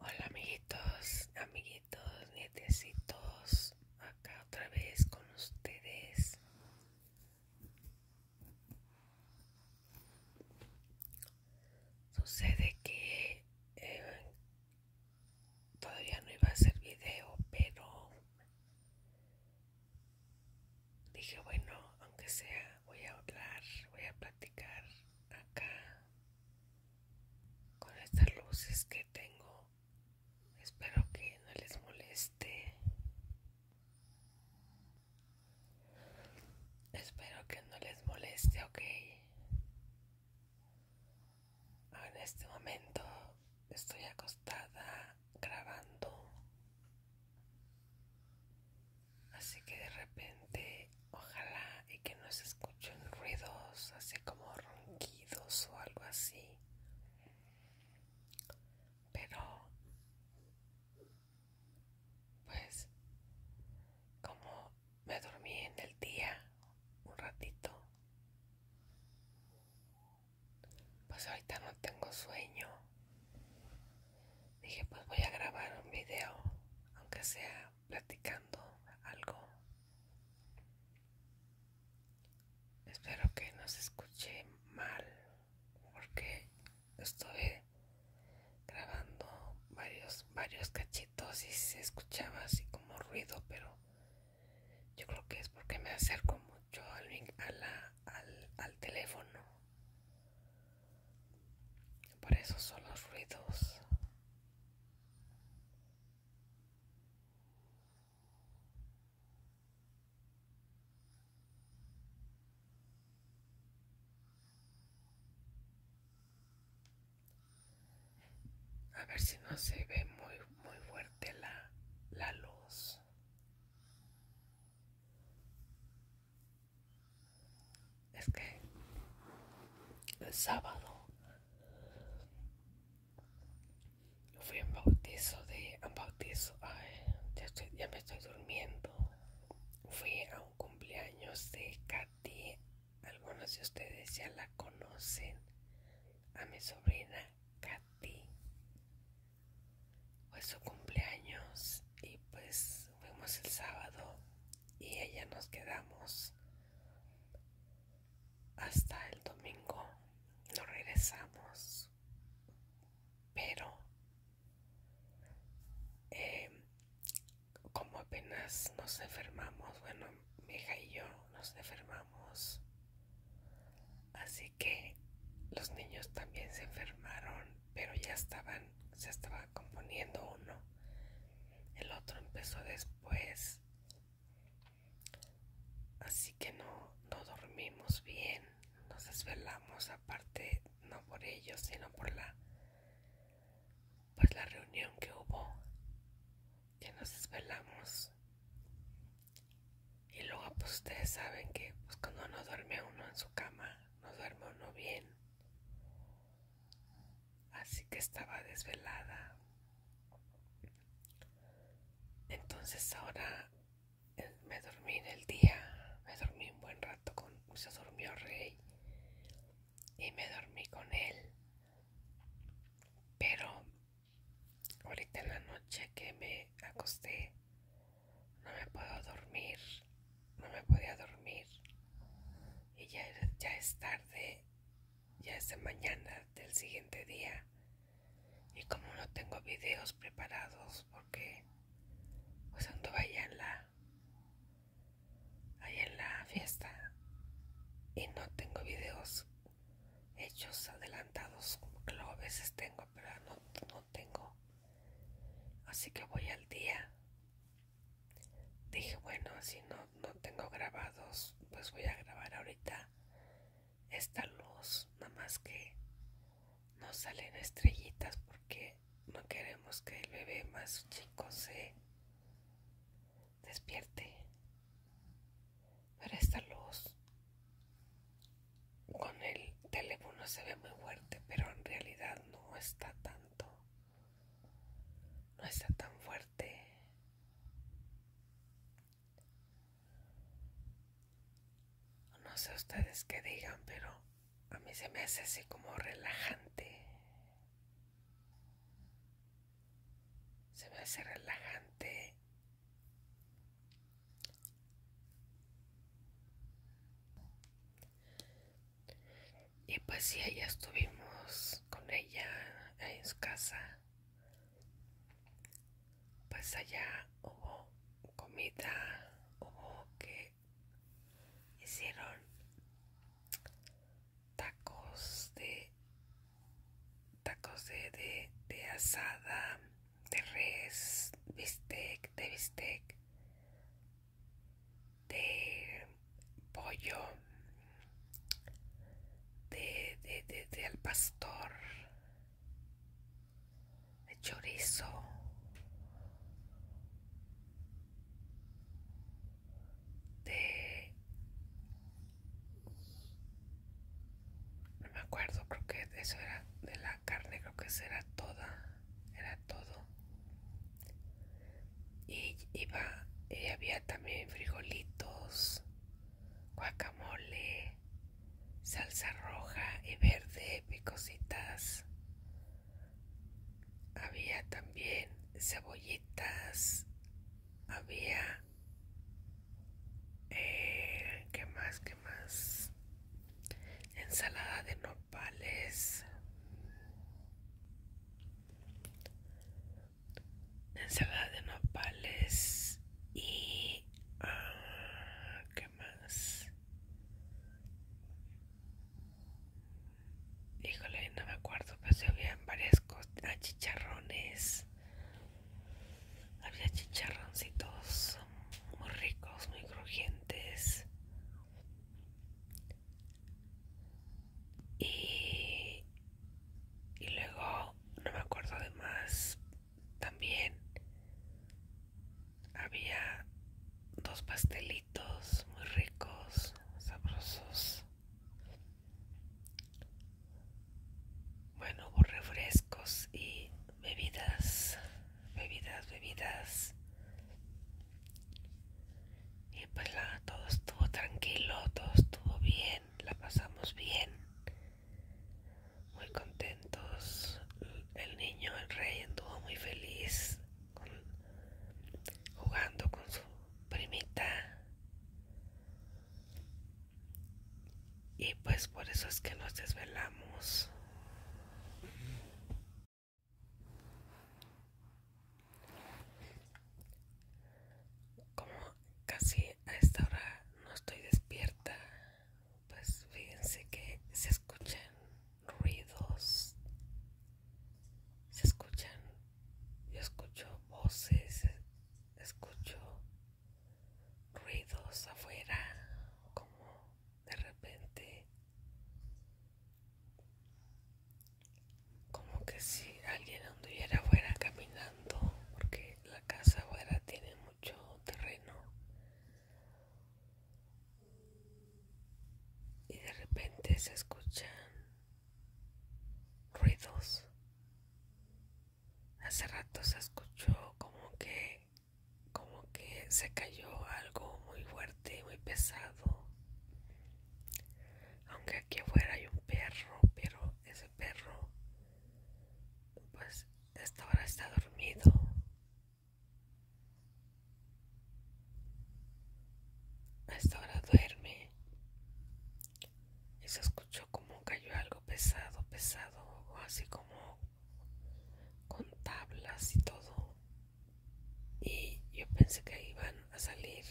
Hola amiguitos, amiguitos, nietecitos, acá otra vez con ustedes. Sucede que em, todavía no iba a hacer video, pero dije, bueno, aunque sea, voy a hablar, voy a platicar acá con estas luces que tengo espero que no les moleste espero que no les moleste ok Ahora en este momento estoy acostada grabando Así que de repente, ojalá y que no se escuchen ruidos, así como ronquidos o algo así. Pero, pues, como me dormí en el día un ratito, pues ahorita no tengo sueño. Dije, pues voy a grabar un video, aunque sea platicando algo. Espero que no se escuche mal porque estuve grabando varios varios cachitos y se escuchaba así como ruido, pero yo creo que es porque me acerco mucho al, al, al teléfono por eso son los ruidos. A ver si no se ve muy muy fuerte la, la luz es que el sábado fui a un bautizo de un bautizo ya, ya me estoy durmiendo fui a un cumpleaños de Katy algunos de ustedes ya la conocen a mi sobrina Katy fue su cumpleaños y pues fuimos el sábado y ella nos quedamos hasta el domingo. no regresamos, pero eh, como apenas nos enfermamos, bueno, mi hija y yo nos enfermamos, así que los niños también se enfermaron, pero ya estaban, se estaba componiendo uno. El otro empezó después. Así que no, dormimos bien. Nos desvelamos aparte, no por ellos, sino por la pues la reunión que hubo. Que nos desvelamos. Y luego pues ustedes saben que pues, cuando no duerme uno en su cama, no duerme uno bien así que estaba desvelada. Entonces ahora eh, me dormí en el día, me dormí un buen rato con, se durmió Rey y me dormí con él. Pero ahorita en la noche que me acosté, no me puedo dormir, no me podía dormir. Y ya, ya es tarde ya es de mañana del siguiente día y como no tengo videos preparados porque pues anduve en la en la fiesta y no tengo videos hechos adelantados como que lo a veces tengo pero no tengo así que voy al día Dije, bueno, si no, no tengo grabados, pues voy a grabar ahorita esta luz, nada más que no salen estrellitas porque no queremos que el bebé más chico se despierte. Pero esta luz con el teléfono se ve muy fuerte, pero en realidad no está tanto no está tan fuerte. No sé ustedes qué digan, pero a mí se me hace así como relajante. Se me hace relajante. Y pues si allá estuvimos con ella en su casa. Pues allá hubo comida, hubo que hicieron tacos de tacos de, de asada, de res, bistec, de bistec de pollo, de, de, de, al pastor, de chorizo. De... No me acuerdo, creo que eso era de la carne, creo que eso era toda, era todo. Y iba, y había también frijolitos, guacamole, salsa roja y verde, picositas. Había también cebollitas, había... Eh, ¿Qué más? ¿Qué más? Ensalada de nopales ensalada de nopales y ah, qué más híjole no me acuerdo pero se habían varias cosas achicharrones chicharrones había chicharroncitos muy ricos muy crujientes y, y luego, no me acuerdo de más, también había dos pastelitos muy ricos, sabrosos. Bueno, hubo refrescos y bebidas, bebidas, bebidas y pues la, todo estuvo tranquilo, todo estuvo bien, la pasamos bien, muy contentos. El niño, el rey, estuvo muy feliz jugando con su primita. Y pues por eso es que nos desvelamos. Como casi a esta hora no estoy despierta, pues fíjense que se escuchan ruidos, se escuchan, yo escucho voces, e-, escucho ruidos afuera, como de repente como que si alguien anduviera afuera caminando porque la casa afuera tiene mucho terreno y de repente se escuchan ruidos hace rato se escuchó como que como que se cayó algo muy fuerte muy pesado aunque aquí afuera hay un perro pero ese perro, pues esta hora está dormido. A esta hora duerme. Y se escuchó como cayó algo pesado, pesado, o así como con tablas y todo. Y yo pensé que iban a salir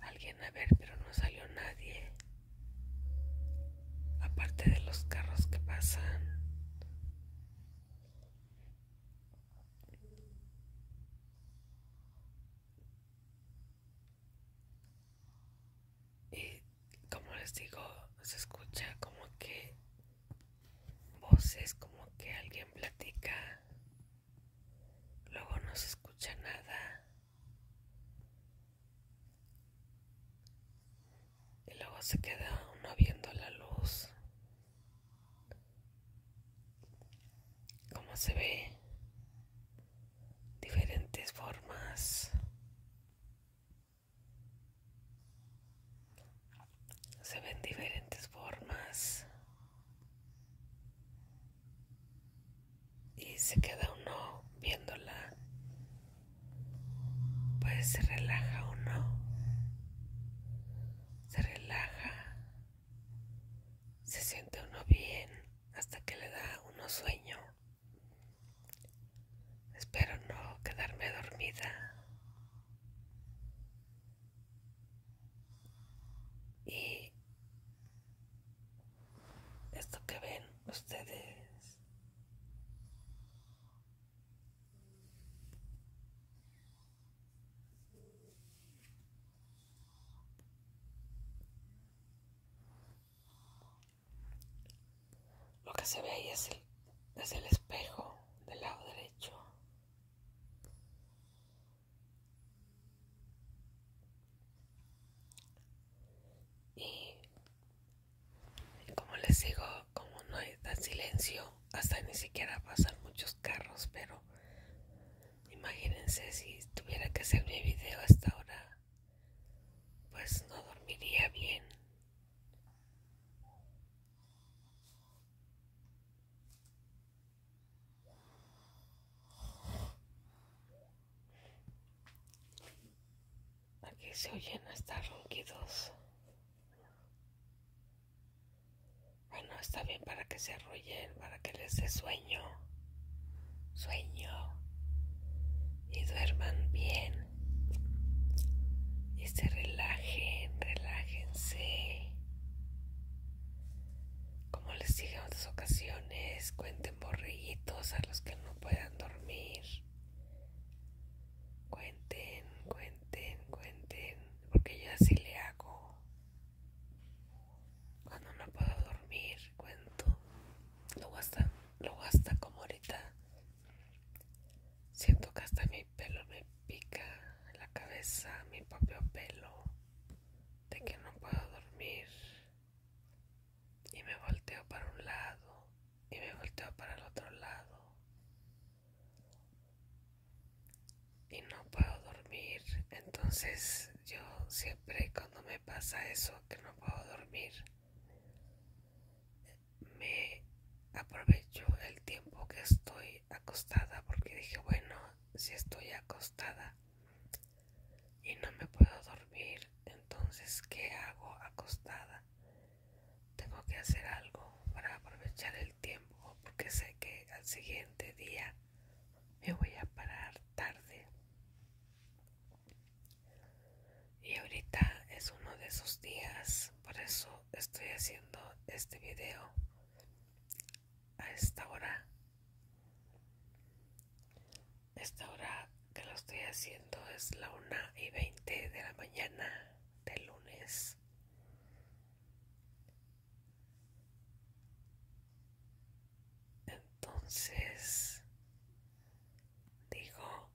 alguien a ver, pero no salió nadie. Aparte de los carros que pasan. Y como les digo, se escucha como que voces, como que alguien platica. Luego no se escucha nada. Y luego se queda uno viendo la luz. Como se ve. Diferentes formas. Se ven diferentes formas y se queda uno viéndola, pues se relaja uno, se relaja, se siente uno bien hasta que le da uno sueño. Espero no quedarme dormida. Y esto que ven ustedes lo que se ve ahí es el, es el espejo del lado derecho y como les digo, como no hay tan silencio, hasta ni siquiera pasan muchos carros, pero imagínense si tuviera que hacer mi video hasta ahora, pues no dormiría bien. Aquí se oyen hasta ronquidos. Bueno, está bien para que se arrullen, para que les dé sueño. Sueño. Y duerman bien. Y se relajen, relájense. Como les dije en otras ocasiones, cuenten borrillitos a los que no puedan dormir. Cuenten, cuenten, cuenten. Porque yo así le hago. Cuando no puedo dormir, cuento. Luego hasta, hasta como ahorita. Siento que hasta mi pelo me pica la cabeza, mi propio pelo. De que no puedo dormir y me volteo para un lado y me volteo para el otro lado y no puedo dormir entonces yo siempre cuando me pasa eso que no puedo dormir me aprovecho el tiempo que estoy acostada porque dije bueno si estoy acostada y no me puedo dormir, entonces ¿qué hago acostada? Tengo que hacer algo para aprovechar el tiempo porque sé que al siguiente día me voy a parar tarde. Y ahorita es uno de esos días, por eso estoy haciendo este video a esta hora esta hora que lo estoy haciendo es la 1 y 20 de la mañana del lunes. Entonces, digo,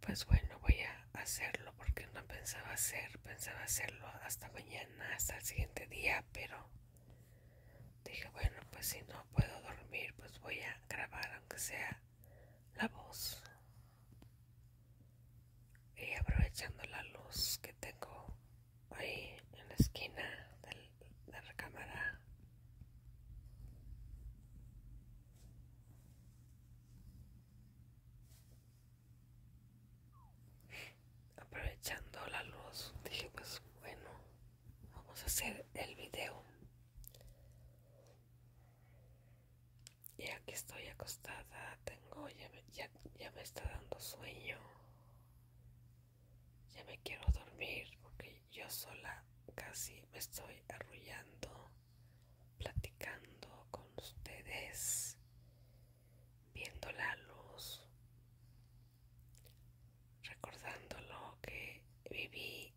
pues bueno, voy a hacerlo porque no pensaba hacer, pensaba hacerlo hasta mañana, hasta el siguiente día, pero Dije, bueno, pues si no puedo dormir, pues voy a grabar, aunque sea la voz. Y aprovechando la luz que tengo ahí en la esquina de la cámara Aprovechando la luz, dije, pues bueno, vamos a hacer el video y aquí estoy acostada tengo ya ya me está dando sueño ya me quiero dormir porque yo sola casi me estoy arrullando platicando con ustedes viendo la luz recordando lo que viví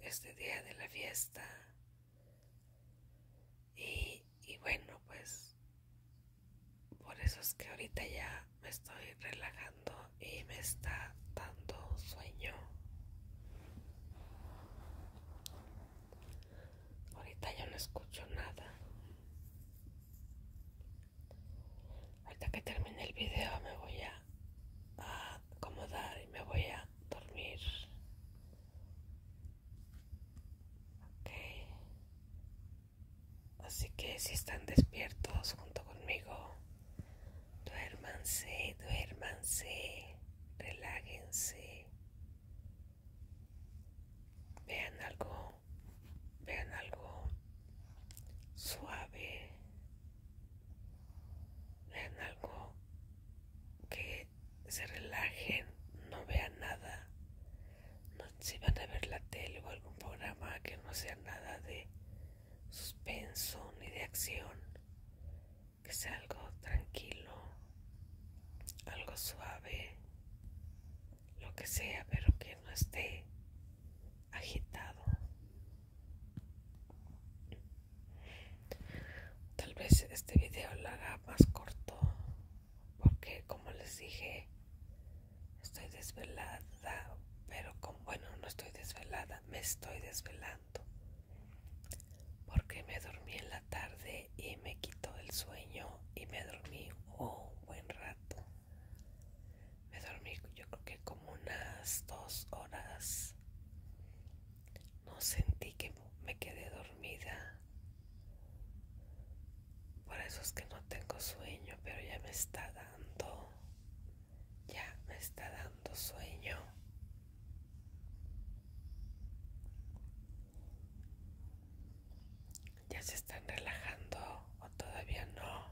este día de la fiesta y, bueno pues por eso es que ahorita ya me estoy relajando y me está dando sueño ahorita ya no escucho nada hasta que termine el video me voy a, acomodar y me voy a dormir. Ok. Así que si están despiertos junto conmigo, duérmanse, duermanse, Reláguense. Vean algo vean algo suave, vean algo que se relajen, no vean nada. No, si van a ver la tele o algún programa que no sea nada de suspenso ni de acción, que sea algo tranquilo, algo suave, lo que sea, pero que no esté agitado. Tal vez este vídeo lo haga más corto, porque como les dije, estoy desvelada, pero con, bueno, no estoy desvelada, me estoy desvelando, porque me dormí en la tarde y me quitó el sueño y me dormí un buen rato me dormí yo creo que como unas dos horas no sentí que me quedé dormida por eso es que no tengo sueño pero ya me está dando ya me está dando sueño ¿Ya se están relajando o todavía no?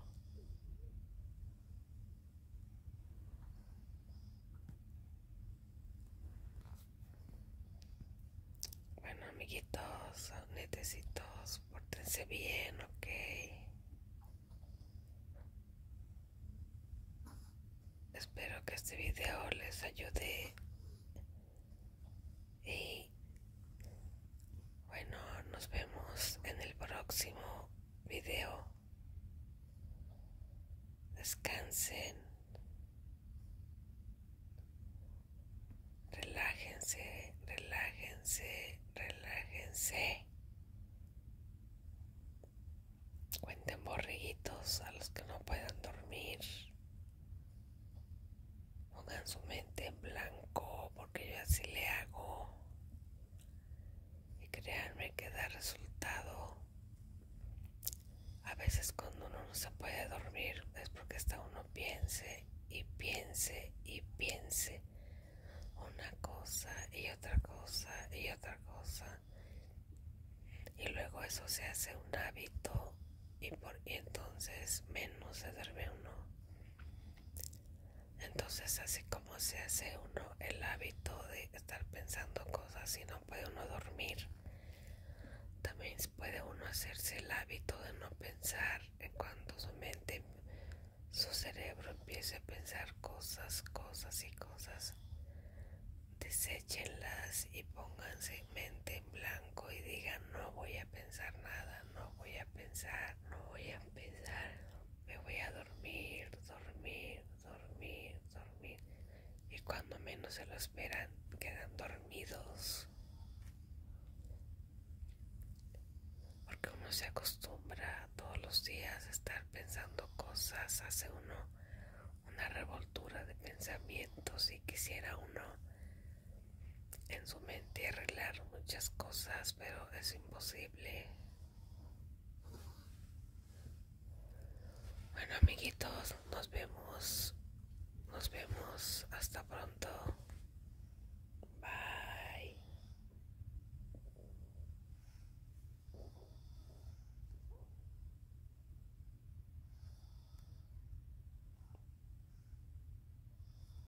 Bueno, amiguitos, netecitos, portense bien, ¿ok? Espero que este video les ayude y bueno, nos vemos en el próximo video. Descansen. Relájense, relájense, relájense. Cuenten borriguitos a los que no puedan dormir. Pongan su mente en blanco porque yo así le hago. Y créanme que da resultado. A veces cuando uno no se puede dormir es porque está uno piense y piense y piense una cosa y otra cosa y otra cosa. Y luego eso se hace un hábito y, por, entonces menos se duerme uno. Entonces así como se hace uno el hábito de estar pensando cosas y no puede uno dormir, también puede uno hacerse el hábito de no pensar en cuanto su mente, su cerebro empiece a pensar cosas, cosas y cosas. Deséchenlas y pónganse mente en blanco y digan no voy a pensar nada, no voy a pensar, no voy a pensar. Me voy a dormir, dormir, dormir, dormir. Y cuando menos se lo esperan, quedan dormidos. Porque uno se acostumbra todos los días a estar pensando cosas, hace uno una revoltura de pensamientos y quisiera uno en su mente arreglar muchas cosas, pero es imposible. Bueno amiguitos, nos vemos. Nos vemos. Hasta pronto. Bye.